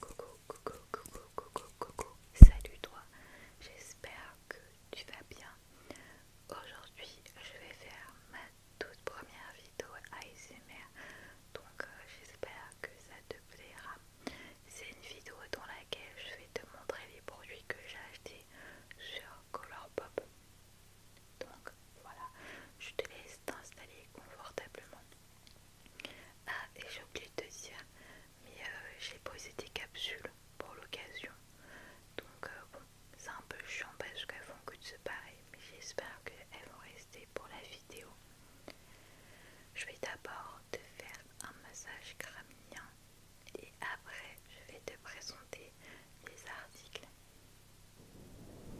Coucou, coucou, coucou, coucou, coucou, salut toi, j'espère que tu vas bien. Aujourd'hui, je vais faire ma toute première vidéo ASMR, donc euh, j'espère que ça te plaira. C'est une vidéo dans laquelle je vais te montrer les produits que j'ai achetés sur Colourpop. Donc voilà, je te laisse t'installer confortablement. Ah, et j'ai oublié de te dire, mais euh, j'ai posé des capsules pour l'occasion. Donc, euh, bon, c'est un peu chiant parce qu'elles font que de se mais j'espère qu'elles vont rester pour la vidéo. Je vais d'abord te faire un massage craminien et après, je vais te présenter les articles.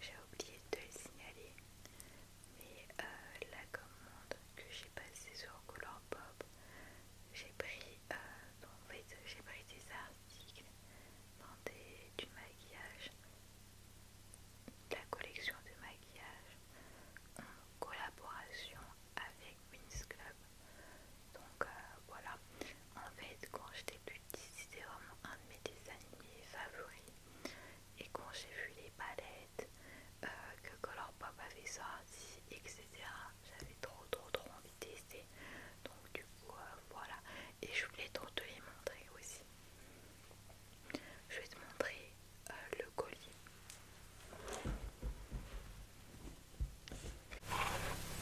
J'ai oublié de le signaler, mais euh, la commande que j'ai passée sur Colourpop, euh, j'ai pris, des articles dans du maquillage, de la collection de maquillage en collaboration avec Wins Club. Donc euh, voilà. En fait, quand j'étais petite, c'était vraiment un de mes dessins animés favoris. Et quand j'ai vu les palettes, euh, que que Colourpop avait sorti, etc., j'avais trop, trop, trop envie de tester. Donc, du coup, euh, voilà. Et je voulais trop te les montrer aussi. Je vais te montrer le colis.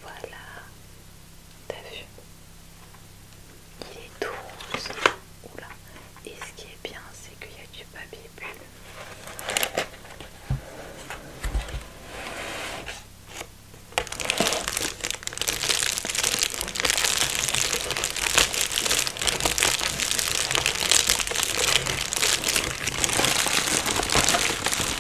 Voilà, t'as vu Il est tout rose. Oula. Et ce qui est bien, c'est qu'il y a du papier bulle.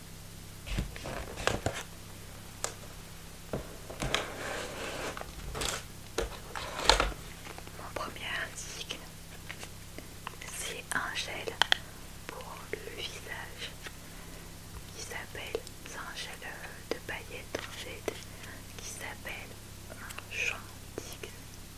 Mon premier indigne, c'est un gel pour le visage qui s'appelle, c'est un gel euh, de paillettes en fait, qui s'appelle un digne.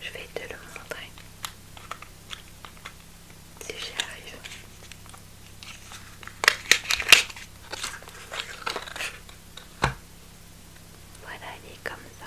Je vais te le montrer si j'y arrive. Voilà, il est comme ça.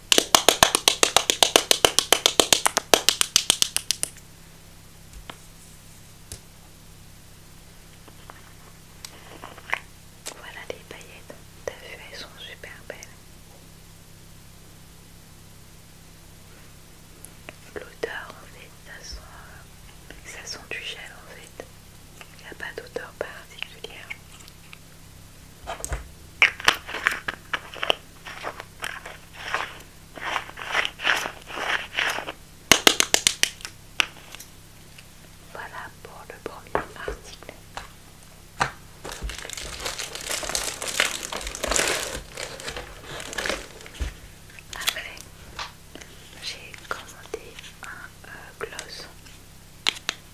Voilà les paillettes, t'as vu, elles sont super belles. L'odeur en fait, ça sent, ça sent du gel en fait. Il n'y a pas d'odeur particulière. Voilà pour le premier article. Après, j'ai commandé un euh, gloss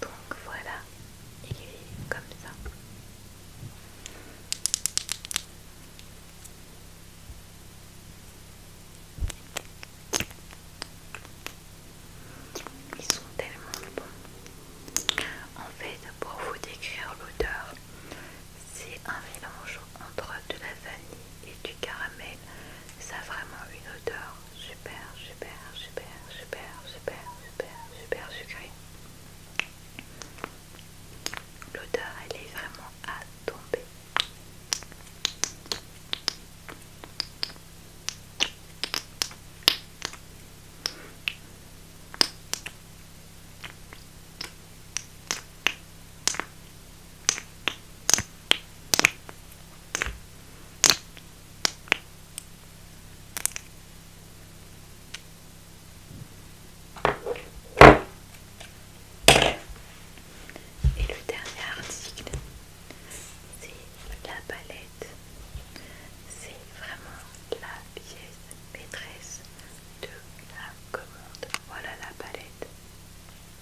Donc voilà, il est comme ça. Ils sont tellement bons. En fait, pour vous décrire l'odeur, c'est un mélange entre de la vanille et du caramel ça a vraiment une odeur super, super, super, super, super, super, super sucrée. L'odeur, elle est vraiment à tomber. Et le dernier article, c'est la palette. C'est vraiment la pièce maîtresse de la commande. Voilà la palette.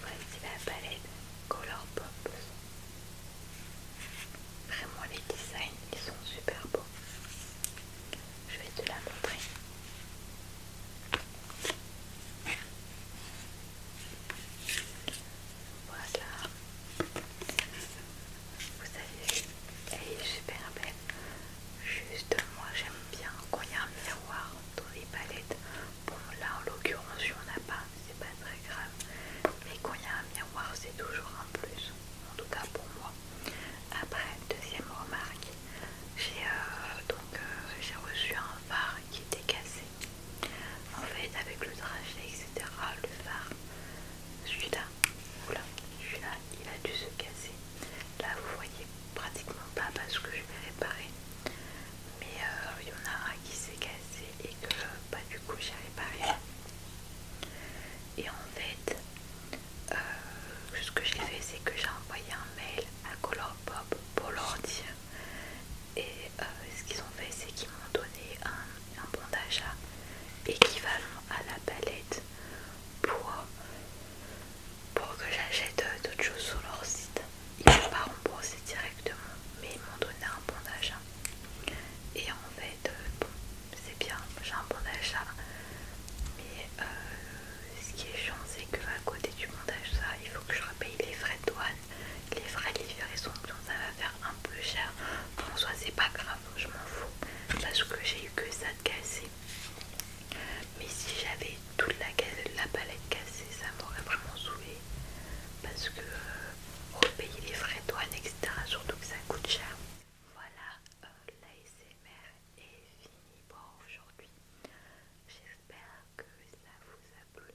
Voici la palette Color Pop. Vraiment les designs ils sont super beaux. Je vais te la montrer. Voilà. Vous savez, elle est super belle. Juste, moi j'aime bien quand il y a un miroir dans les palettes. Bon, là en l'occurrence, il n'y en a pas, c'est pas très grave. Mais quand y a un miroir, c'est toujours un plus. En tout cas pour moi. Après, deuxième remarque, j'ai euh, j'ai reçu un phare qui était cassé. En fait, avec le trajet, etc., le phare, celui-là, là il a dû se casser. Là, vous voyez pratiquement pas parce que je vais réparé, mais euh, il y en a un qui s'est cassé et que pas bah, du coup j'ai réparé. Et en fait, euh, ce que j'ai fait, c'est que j'ai envoyé un mail à Color leur dire et euh, ce qu'ils ont fait c'est qu'ils m'ont donné un, bon d'achat équivalent à la palette pour, pour que j'achète d'autres choses sur leur site ils m'ont pas remboursé directement mais ils m'ont donné un bon d'achat et en fait euh, bon c'est bien j'ai un bon d'achat mais euh, ce qui est chiant, c'est qu'à côté du montage, ça, il faut que je repaye les frais de douane, les frais de livraison, donc ça va faire un peu cher. Bon, en c'est pas grave, je m'en fous, parce que j'ai eu que ça de cassé. Mais si j'avais toute la, palette cassée, ça m'aurait vraiment saoulé, parce que euh, repayer les frais de douane, etc., surtout que ça coûte cher. Voilà, euh, la SMR et fini pour aujourd'hui. J'espère que ça vous a plu.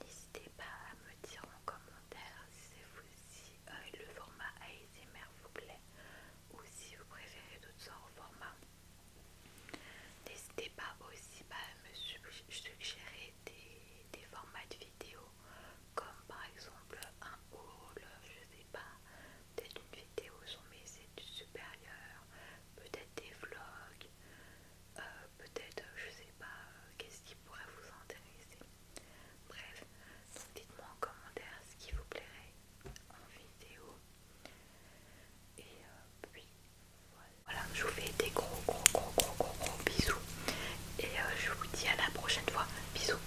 N'hésitez pas à me dire en commentaire si, vous, euh, le format ASMR vous plaît ou si vous préférez d'autres sortes de formats. N'hésitez pas aussi bah, à me suggérer des, formats de vidéos comme par exemple un haul, je sais pas, peut-être une vidéo sur mes études supérieures, peut-être des vlogs, euh, peut-être, euh, je sais pas, euh, qu'est-ce qui pourrait vous intéresser. Bref, dites-moi en commentaire ce qui vous plairait en vidéo. Et puis voilà. je vous fais des gros gros gros gros gros gros bisous. Et je vous dis à la prochaine fois. Bisous.